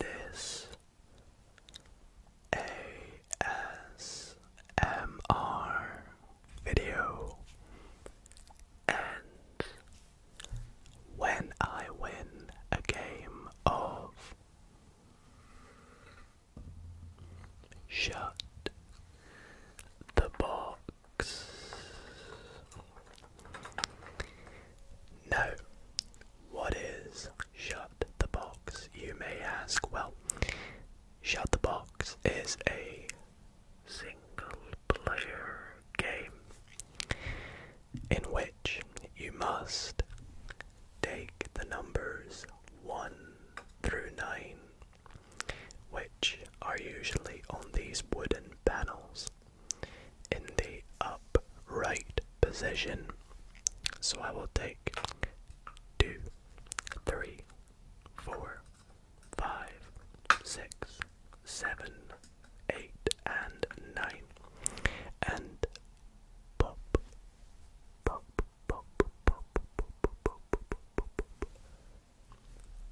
This ASMR video and when I win a game of Shut the Box. Now, what is shut the box, you may ask? Well, shut the box is a single player game in which you must take the numbers 1 through 9, which are usually on these wooden panels in the upright position. So I will take two, three, four, five, six, seven, eight, and nine. And pop, pop, pop, pop, pop, pop, pop, pop, pop, pop, pop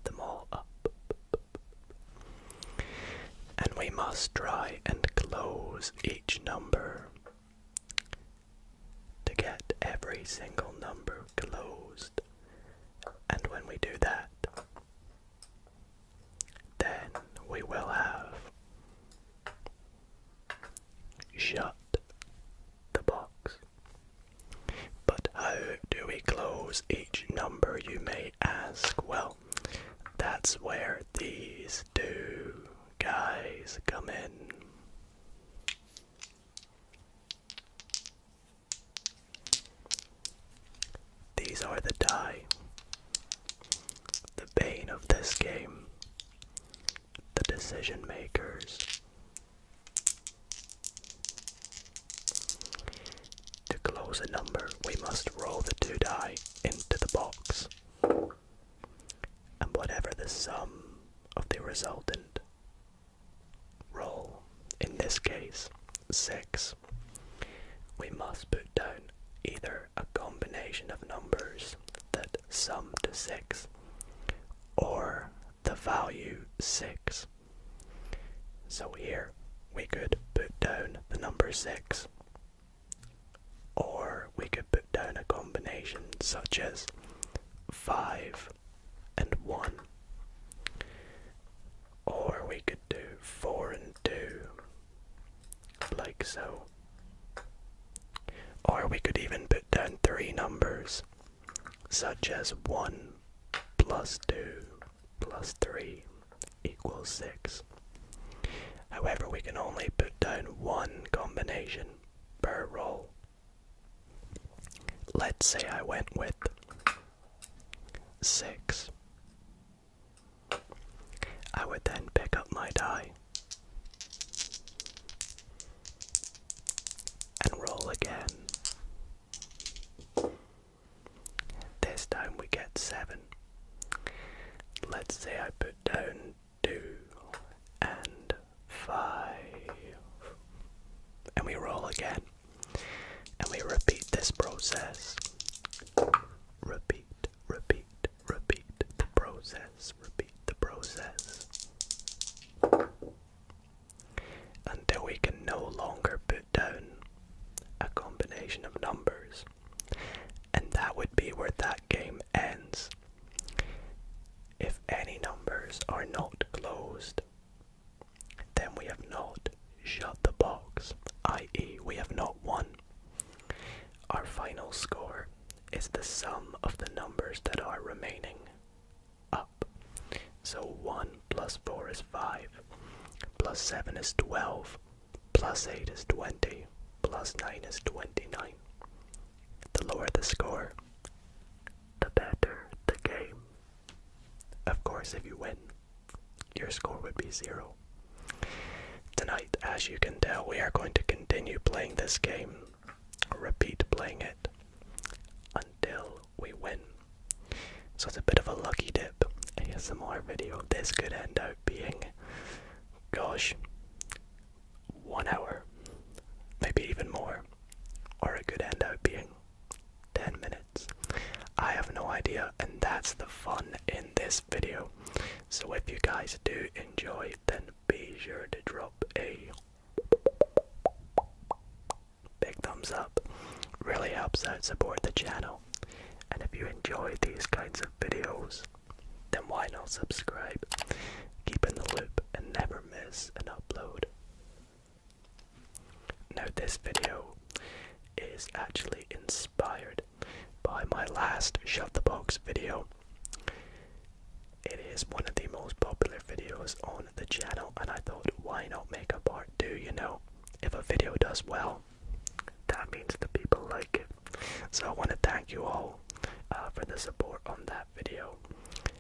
them all up. And we must try and close each number to get every single number closed. And when we do that, then we will have shut the box. But how do we close each number, you may ask? Well, that's where these two guys come in. These are the die. The bane of this game. The decision makers. To close a number, we must roll the two die into the box, and whatever the sum of the resultant roll, in this case, 6, we must put down either a combination of numbers that sum to 6 or the value 6. So here we could put down the number 6 or we could put down a combination such as 5 and 1. Or we could do 4 and 2, like so. Or we could even put down three numbers, such as 1 plus 2 plus 3 equals 6. However, we can only put down one combination per roll. Let's say I went with 6. I would then pick up my die and roll again. This time we get 7. Let's say I put down 2 and 5. And we roll again. And we repeat this process. Repeat, repeat, repeat the process, repeat the process. Until we can no longer put down a combination of numbers and that would be where that game ends. If any numbers are not closed, then we have not shut the box, i.e., we have not won. Our final score is the sum of the numbers that are remaining up. So 1 plus 4 is 5, plus 7 is 12, Plus 8 is 20. Plus 9 is 29. The lower the score, the better the game. Of course, if you win, your score would be 0. Tonight, as you can tell, we are going to continue playing this game, repeat playing it, until we win. So it's a bit of a lucky dip. ASMR video. This could end up being, gosh, one hour, maybe even more, or it could end up being 10 minutes. I have no idea, and that's the fun in this video. So if you guys do enjoy, then be sure to drop a big thumbs up. Really helps out support the channel. And if you enjoy these kinds of videos, then why not subscribe? Keep in the loop and never miss an upload. Note this video is actually inspired by my last Shut the Box video. It is one of the most popular videos on the channel, and I thought, why not make a part two? You know, if a video does well, that means the people like it. So I want to thank you all uh, for the support on that video.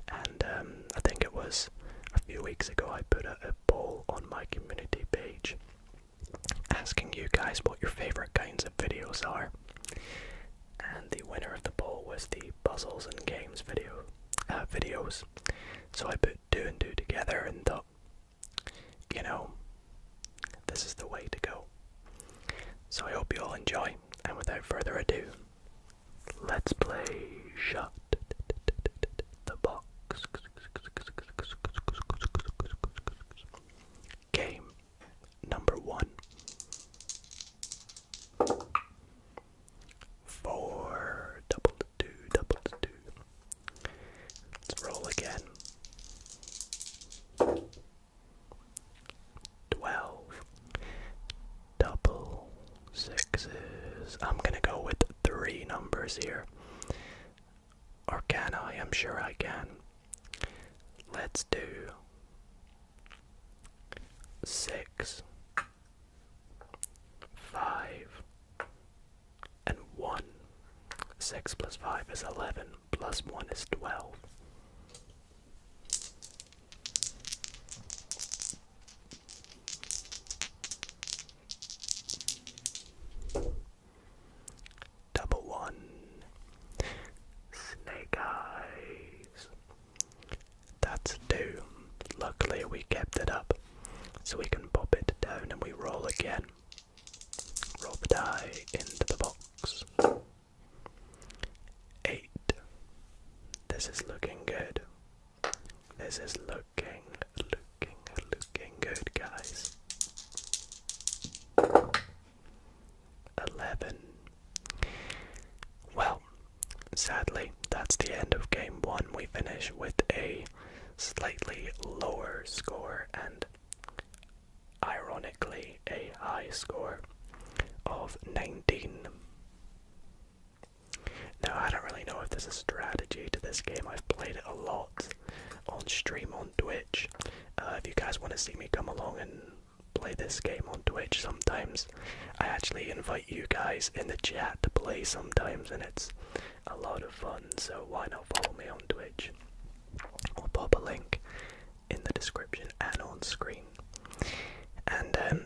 And um, I think it was a few weeks ago I put a, poll on my community page asking you guys what your favorite kinds of videos are. And the winner of the poll was the puzzles and games video uh, videos. So I put two and two together and thought you know, this is the way to go. So I hope you all enjoy, and without further ado, let's play Shut the Box Game number one. Four double two double two Let's roll again. 12 double sixes. I'm gonna go with three numbers here. Or can I? I'm sure I can. Let's do six, five, and 1. 6 plus 5 is 11, plus 1 is 12. Double one snake eyes. That's two. Luckily, we kept it up, so we can pop it down and we roll again. Rope die into the box. Eight. This is looking good. This is looking, looking, looking good, guys. Eleven. Well, sadly, that's the end of game one. We finish with a slightly lower score and ironically a high score of 19. Now, I don't really know if there's a strategy to this game. I've played it a lot on stream on Twitch. Uh, if you guys want to see me come along and play this game on Twitch sometimes, I actually invite you guys in the chat to play sometimes, and it's a lot of fun, so why not follow me on Twitch? I'll pop a link in the description and on screen. And um,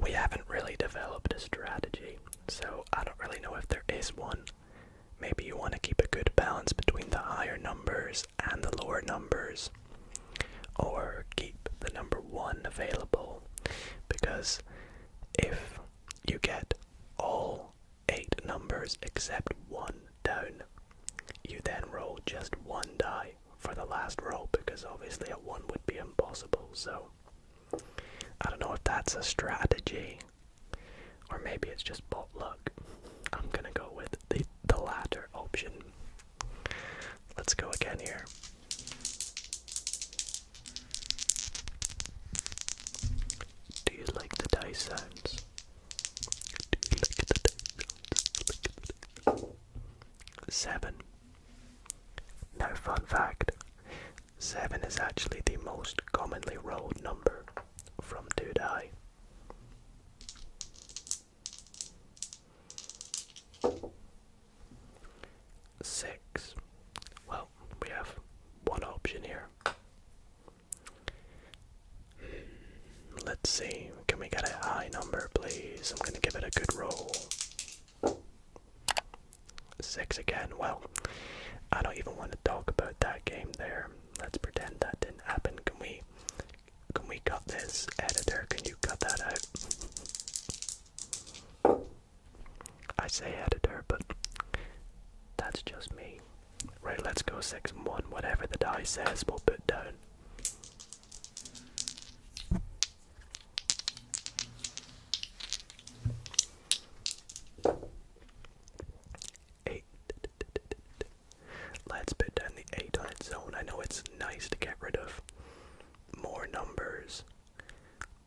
we haven't really developed a strategy, so I don't really know if there is one. Maybe you want to keep a good balance between the higher numbers and the lower numbers, or keep the number one available because if you get all eight numbers except one down. You then roll just one die for the last roll because obviously a one would be impossible. So I don't know if that's a strategy or maybe it's just bot luck. I'm gonna go with the the latter option. Let's go again here. Do you like the dice sounds? Do you like the dice sounds? Seven. Now, fun fact seven is actually the most commonly rolled number from two die. Six. Well, we have one option here. Hmm, let's see, can we get a high number, please? I'm gonna give it a good roll. Six again. Well, I don't even want to talk about that game there. Let's pretend that didn't happen. Can we can we cut this editor? Can you cut that out? I say editor, but that's just me. Right, let's go 6 1. Whatever the die says, we'll put down. Eight. Let's put down the 8 on its own. I know it's nice to get rid of more numbers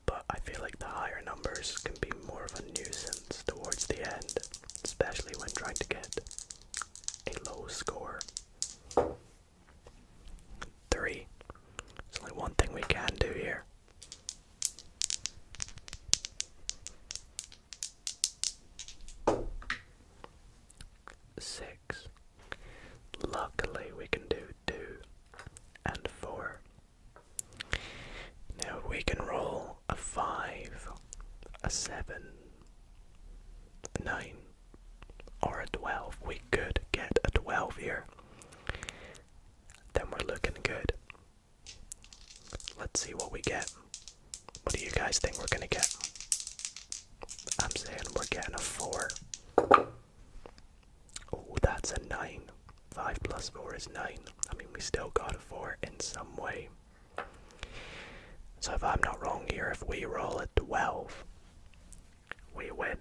but I feel like the higher numbers can be more of a nuisance towards the end, especially when trying to get a low score. Three. There's only one thing we can do here. Six. Luckily, we can do two and four. Now we can roll a 5, a 7, a 9, or a 12. We could get a 12 here. Then we're looking good. Let's see what we get. What do you guys think we're gonna get? I'm saying we're getting a 4. Oh, that's a 9. 5 plus 4 is 9. I mean, we still got a 4 in some way. So, if I'm not wrong here, if we roll a 12, we win.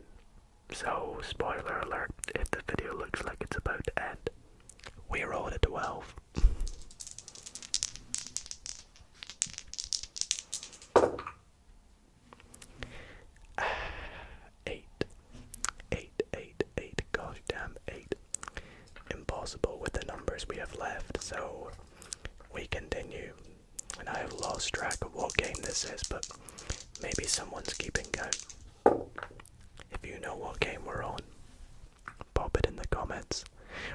So, spoiler alert, if the video looks like it's about to end, we rolled a 12. Eight. Eight, eight, eight. Gosh damn, eight. Impossible with the numbers we have left, so we continue. And I have lost track of what game this is, but maybe someone's keeping count. If you know what game we're on, pop it in the comments.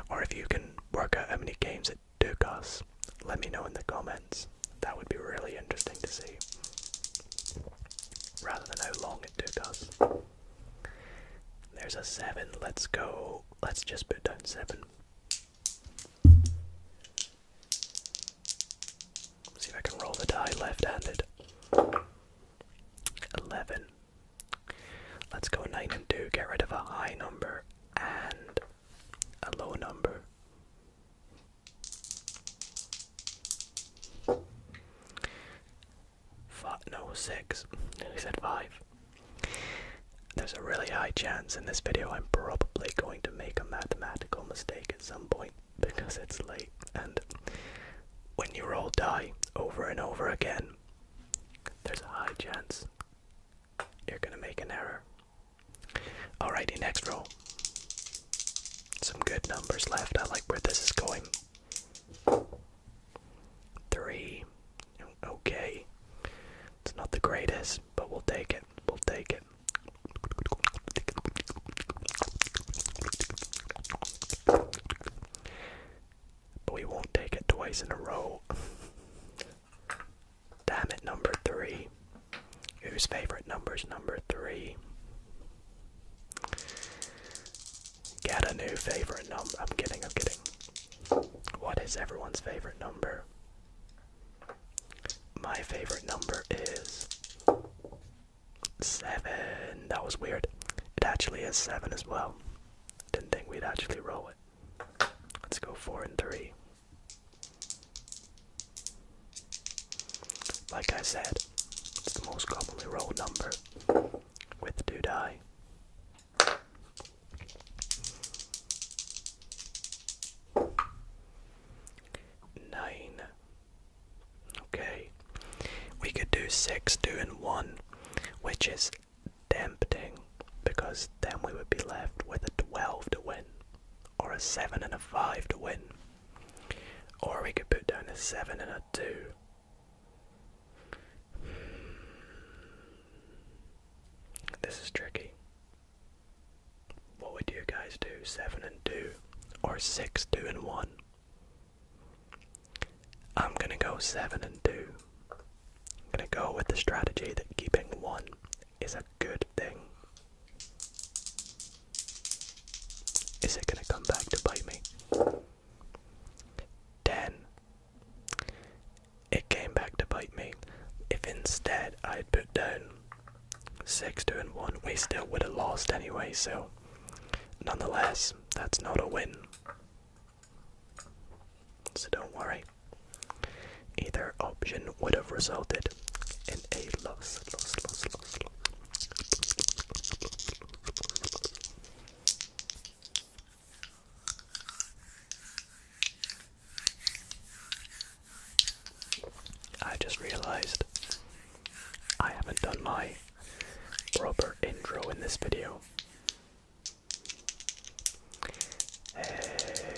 Or if you can work out how many games it took us, let me know in the comments. That would be really interesting to see. Rather than how long long it There's a seven. Let's go. Let's just put down seven. See if I can roll the die left-handed. Eleven. Let's go nine and two. Get rid of a high number and a low number. Five, no, six. And he said five. There's a really high chance in this video I'm probably going to make a mathematical mistake at some point because it's late and when you roll die over and over again, there's a high chance you're gonna make an error. Alrighty, next roll. Some good numbers left. I like where this is going. Three. Okay. It's not the greatest, but we'll take it. We'll take it. But we won't take it twice in a row. Damn it, number three. Whose favorite number is number three? Get a new favorite number. I'm kidding, I'm kidding. What is everyone's favorite number? My favorite number is seven. That was weird. It actually is seven as well. Didn't think we'd actually roll it. Let's go four and three. Like I said, it's the most commonly rolled number with do die. Nine. Okay. We could do six, two, and one, which is tempting because then we would be left with a 12 to win or a 7 and a 5 to win. Or we could put down a 7 and a 2. This is tricky. What would you guys do? 7 and 2 or 6, 2 and 1? I'm gonna go 7 and 2. I'm gonna go with the strategy that keeping 1 is a good thing. Is it gonna come back to bite me? Ten. It came back to bite me. If instead I had put down six, two, and one, we still would have lost anyway, so nonetheless, that's not a win. So don't worry. Either option would have resulted in a loss. I just realized I haven't done my proper intro in this video. Hey,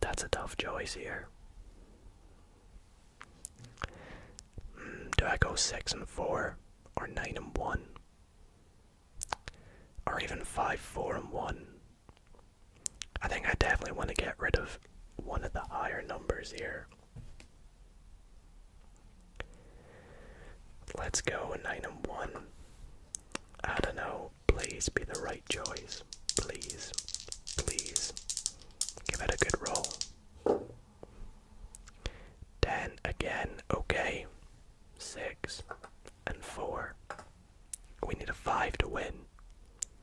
that's a tough choice here. Mm, do I go six and four, or nine and one, or even five, four and one? I think I definitely want to get rid of one of the higher numbers here. Let's go nine and one. I don't know. Please be the right choice. Please, please. Give it a good roll. 10 again, okay. 6 and 4. We need a 5 to win.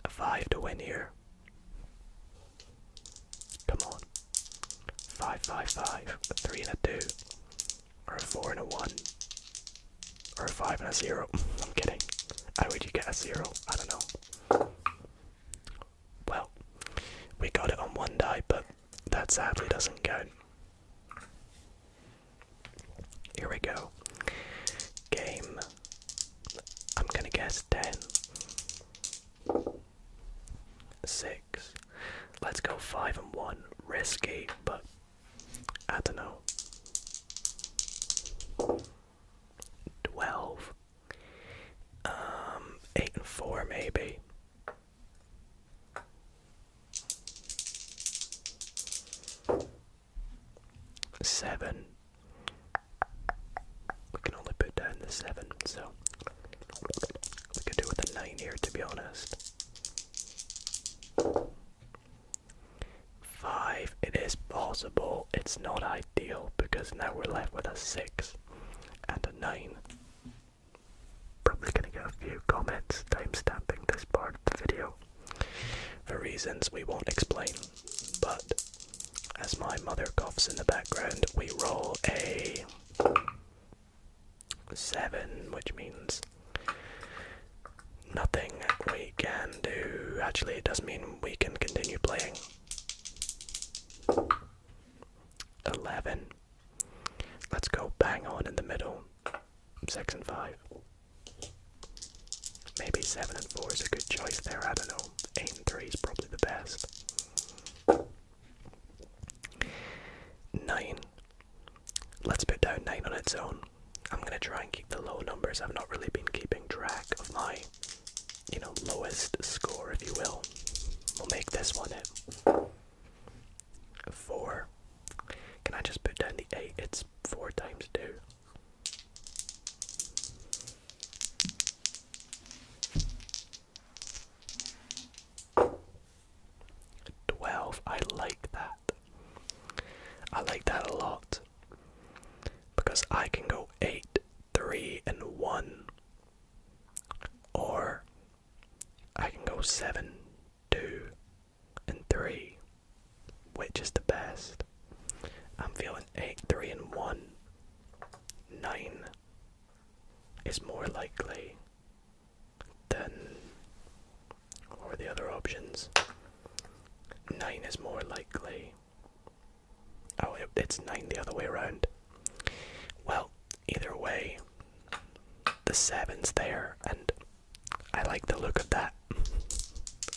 A 5 to win here. Come on. 5 5 5. A 3 and a 2. Or a 4 and a 1. Or a 5 and a 0. I'm kidding. How would you get a 0? I don't know. Well, we got it on one die, but that sadly doesn't count. Here we go. Game. I'm gonna guess 10. 6. Let's go 5 and 1. Risky, but I don't know. 12. Um, 8 and 4, maybe. Seven. We can only put down the seven, so we could do with a nine here to be honest. 5. It is possible, it's not ideal because now we're left with a 6 and a 9. Probably gonna get a few comments timestamping this part of the video for reasons we won't explain, but as my mother coughs in the background, we roll a 7, which means Nothing we can do. Actually, it does not mean we can continue playing. 11. Let's go bang on in the middle. 6 and 5. Maybe 7 and 4 is a good choice there, I don't know. 8 and 3 is probably the best. 9. Let's put down 9 on its own. I'm going to try and keep the low numbers. I've not really been keeping track of my, you know, lowest score, if you will. We'll make this one it. 4. Can I just put down the 8? It's 4 times 2. Twelve. I like that. I like that a lot because I can go 8, 3, and 1, or I can go 7, 2, and 3. Which is the best? I'm feeling 8, 3, and 1. 9 is more likely than or the other options. 9 is more likely. Oh, it, it's 9 the other way around. Well, either way, the seven's there, and I like the look of that.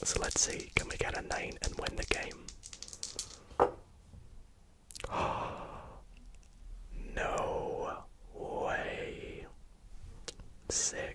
So let's see, can we get a 9 and win the game? no way. 6.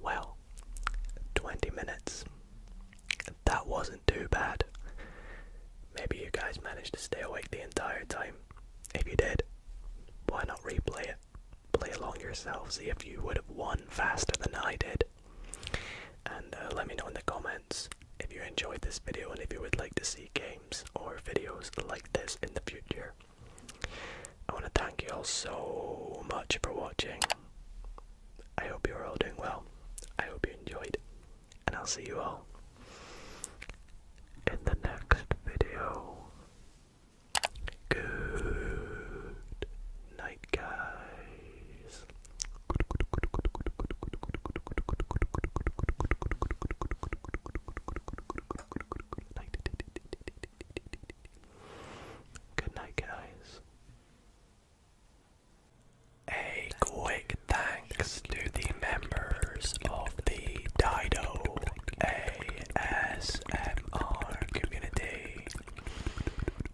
Well, 20 minutes. That wasn't too bad. Maybe you guys managed to stay awake the entire time. If you did, why not replay it? Play along yourself, see if you would have won faster than I did. And uh, let me know in the comments if you enjoyed this video and if you would like to see games or videos like this in the future. I want to thank you all so much for watching. I hope you're all doing well. I hope you enjoyed. And I'll see you all in the next video. Good night, guys good night. guys. A quick thanks to the members of the Dido ASMR community.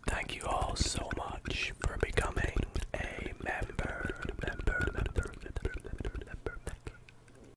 Thank you all so much for becoming a member. Member, member, member, member, member.